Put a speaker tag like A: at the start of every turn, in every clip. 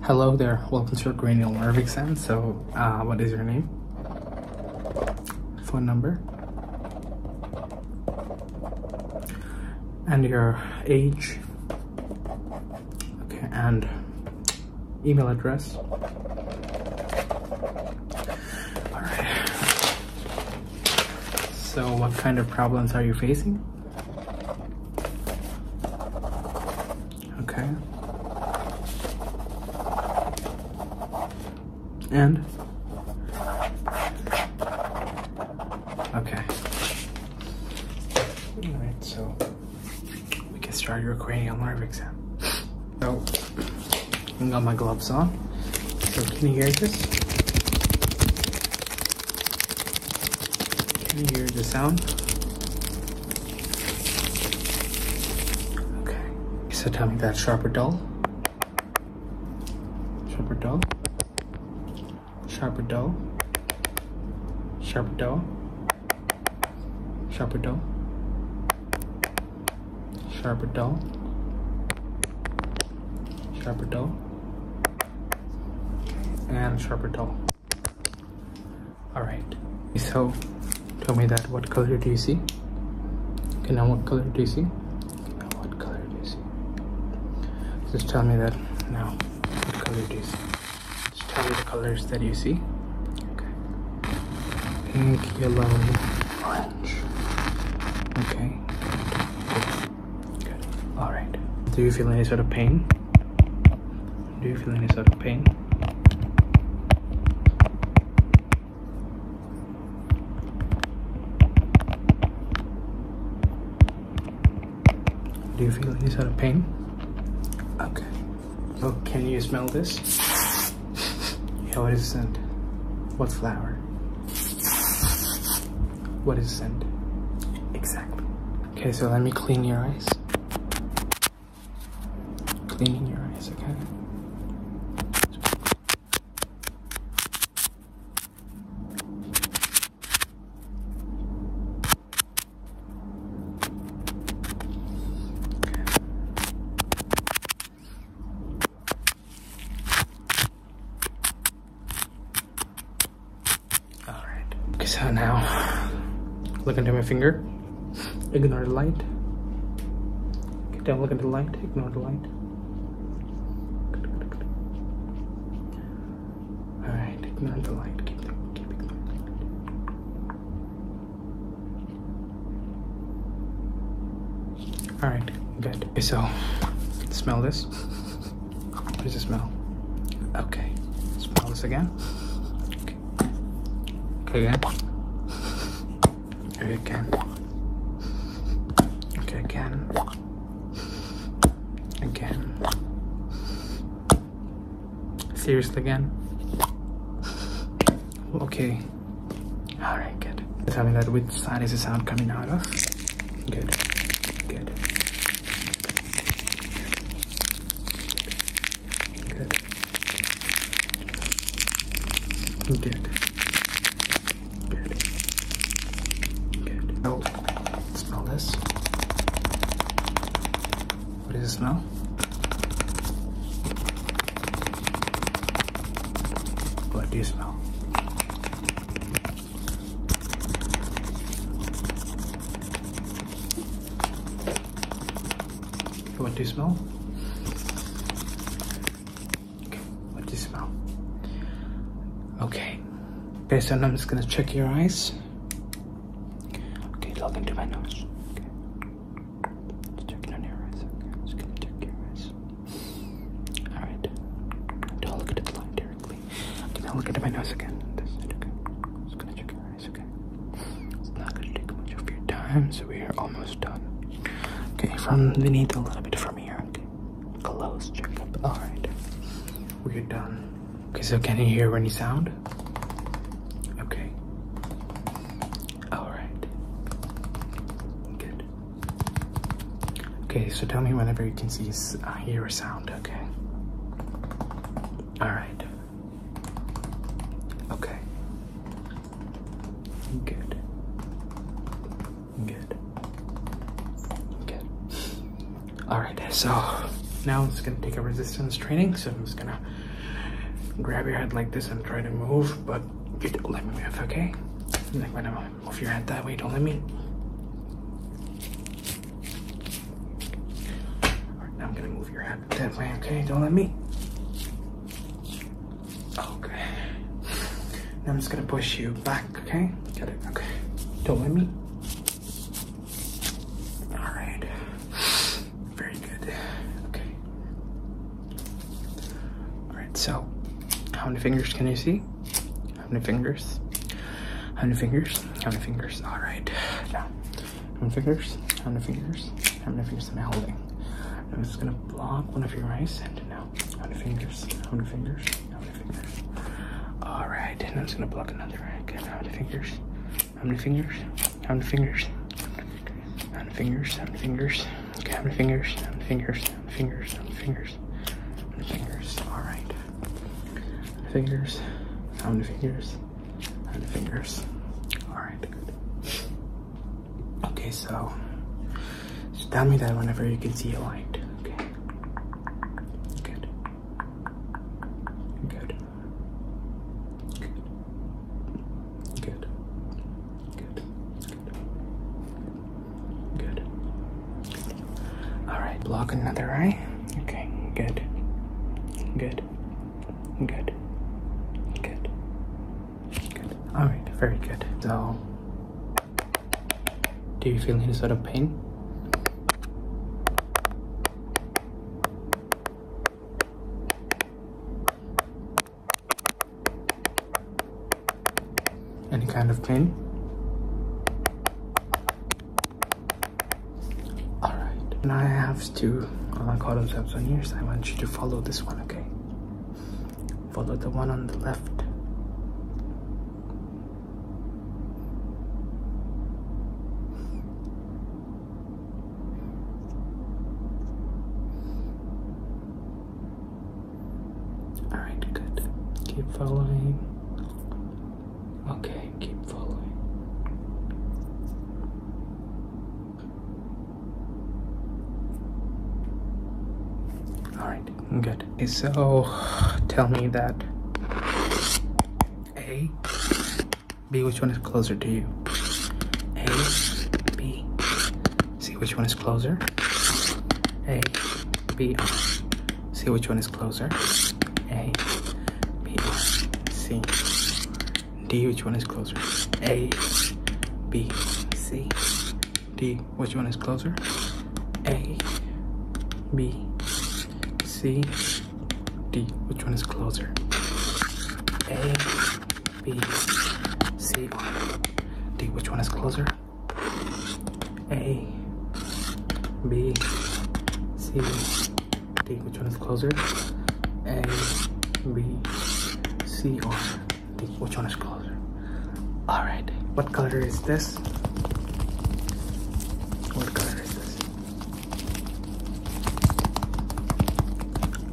A: Hello there, welcome to your cranial nerve exam. So, uh, what is your name? Phone number? And your age? Okay, and email address? Alright. So, what kind of problems are you facing? Okay. And? Okay. Alright, so we can start your cranial nerve exam. So, I got my gloves on. So, can you hear this? Can you hear the sound? Okay. So tell me that sharper dull? sharper dull? sharper dull? sharper dull? sharper dull? sharper dull? Sharp dull? And sharper dull. Alright, so tell me that what color do you see? Okay, now what color do you see? what color do you see? Just tell me that now what color do you see? Just tell me the colors that you see. Okay. Pink, yellow, orange. Okay. Good. All right. Do you feel any sort of pain? Do you feel any sort of pain? Do you feel any sort of pain? Okay. Oh, can you smell this? Yeah, what is the scent? What flower? What is the scent? Exactly. Okay, so let me clean your eyes. Cleaning your eyes, okay? All right. Okay, so now look into my finger. Ignore the light. Get down, look at the light. Ignore the light. All right, ignore the light. Keep, keep All right, good. so smell this. What does it smell? Okay. Smell this again. Okay. Okay again. Okay again. Okay again. Again. Seriously again. Okay. Alright, good. Tell me that which side is the sound coming out of? Good. Good. Good. Good. Good. Good. Oh, smell this. What is does it smell? What is do smell? What do you smell? Okay, what do you smell? Okay. Based on I'm just gonna check your eyes. Okay, look into my nose. Okay. Just checking on your eyes. Okay, just gonna check your eyes. Alright. Don't look at the light directly something. Can I look at my nose again? This okay. Just gonna check your okay? It's not gonna take much of your time, so we are almost done. Okay, from beneath a little bit from here, okay? Close checkup. Alright. We're done. Okay, so can you hear any sound? Okay. Alright. Good. Okay, so tell me whenever you can see uh, hear a sound, okay? All right. Okay. Good. Good. Good. All right. So now it's gonna take a resistance training. So I'm just gonna grab your head like this and try to move, but don't let me move, okay? Like when Move your head that way. Don't let me. All right, now I'm gonna move your head that way. Okay, don't let me. Okay. Now I'm just gonna push you back. Okay, got it. Okay. Don't let me. All right. Very good. Okay. All right. So, how many fingers can you see? How many fingers? How many fingers? How many fingers? All right. Now, how many fingers? How many fingers? How many fingers am I holding? I'm just gonna block one of your eyes and now, how many fingers? How many fingers? How many fingers? All right, and I'm just gonna block another eye. Again. How many fingers? How many fingers? How many fingers? How many fingers? How many fingers? How many fingers? Okay, how many fingers? How many fingers? fingers, fingers, fingers. All right, fingers, pound fingers, pound fingers. All right, good. Okay, so just tell me that whenever you can see a light. Okay. Good. Good. Good. Good. Good. Good. All right, block another eye. Okay, good. Good. Good. Good. Good. All right, very good. So, do you feel any sort of pain? any kind of clean all right now i have two uh, column tabs on yours i want you to follow this one okay follow the one on the left Alright, good. Keep following. Okay, keep following. Alright, good. So tell me that A, B, which one is closer to you? A, B, See which one is closer. A, B, R. See which one is closer. A, B, R, C. D, which one is closer? A, B, C. D, which one is closer? A, B, C, D, which one is closer? A, B, C, R. D, which one is closer? A, B, C, D. Which one is closer? A, B, C, or D. Which one is closer? Alright, what color is this? What color is this?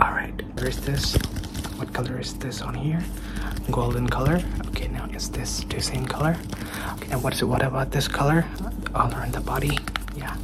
A: Alright, where is this? What color is this on here? Golden color. Okay, now is this the same color? Okay, now what's it? What about this color? All in the body. Yeah.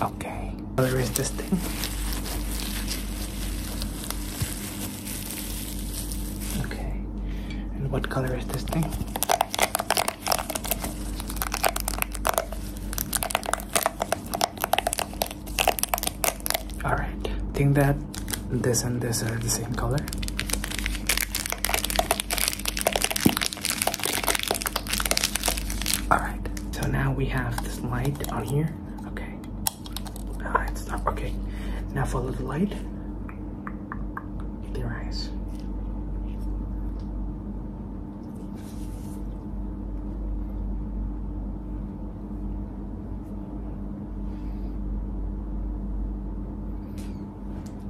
A: Okay. What color is this thing? Okay. And what color is this thing? all right think that this and this are the same color all right so now we have this light on here okay all right stop okay now follow the light with your eyes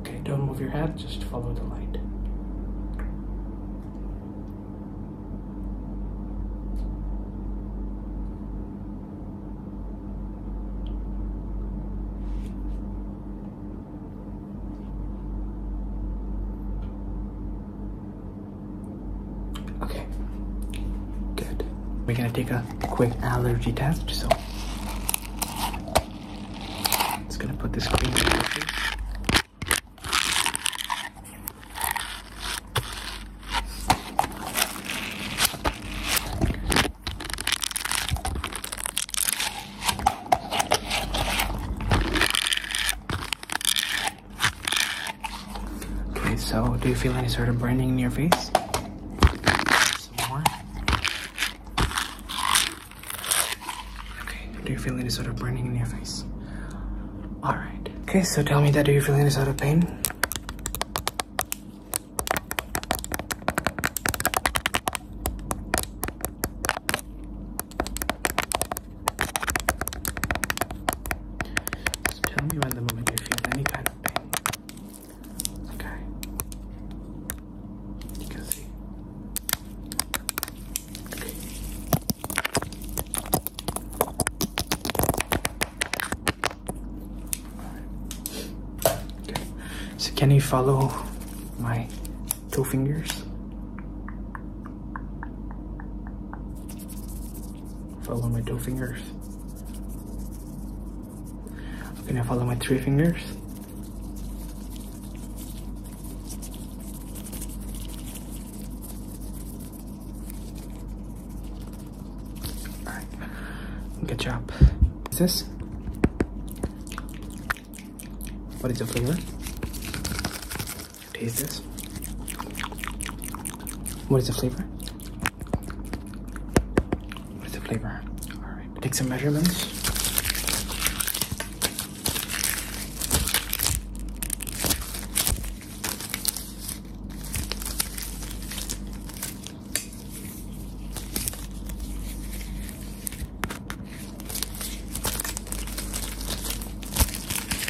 A: Okay, don't move your head, just follow the light. Okay, good. We're gonna take a quick allergy test, so it's gonna put this cream in your Okay, so do you feel any sort of burning in your face? Some more. Okay, do you feel any sort of burning in your face? Alright. Okay, so tell me that do you feel any sort of pain? tell me when the moment you feel any kind of pain. Okay. okay. So can you follow my two fingers? Follow my two fingers. Okay, now follow my three fingers. All right, good job. What's this? What is the flavor? Taste this. What is the flavor? What is the flavor? All right, take some measurements.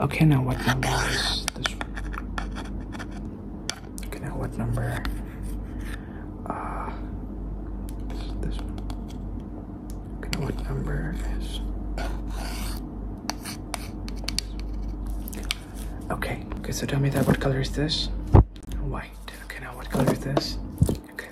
A: Okay, now what number is this one? Okay, now what number? Uh, this Okay, now what number is? Okay, okay, so tell me that what color is this? White. Okay, now what color is this? Okay,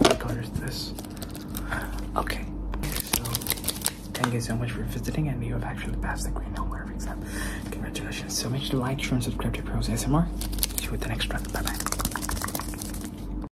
A: What color is this? Okay. thank you so much for visiting, and you have actually passed the Green Home exam. Congratulations. So make sure to like, share, and subscribe to Pros ASMR. See you with the next one. Bye bye.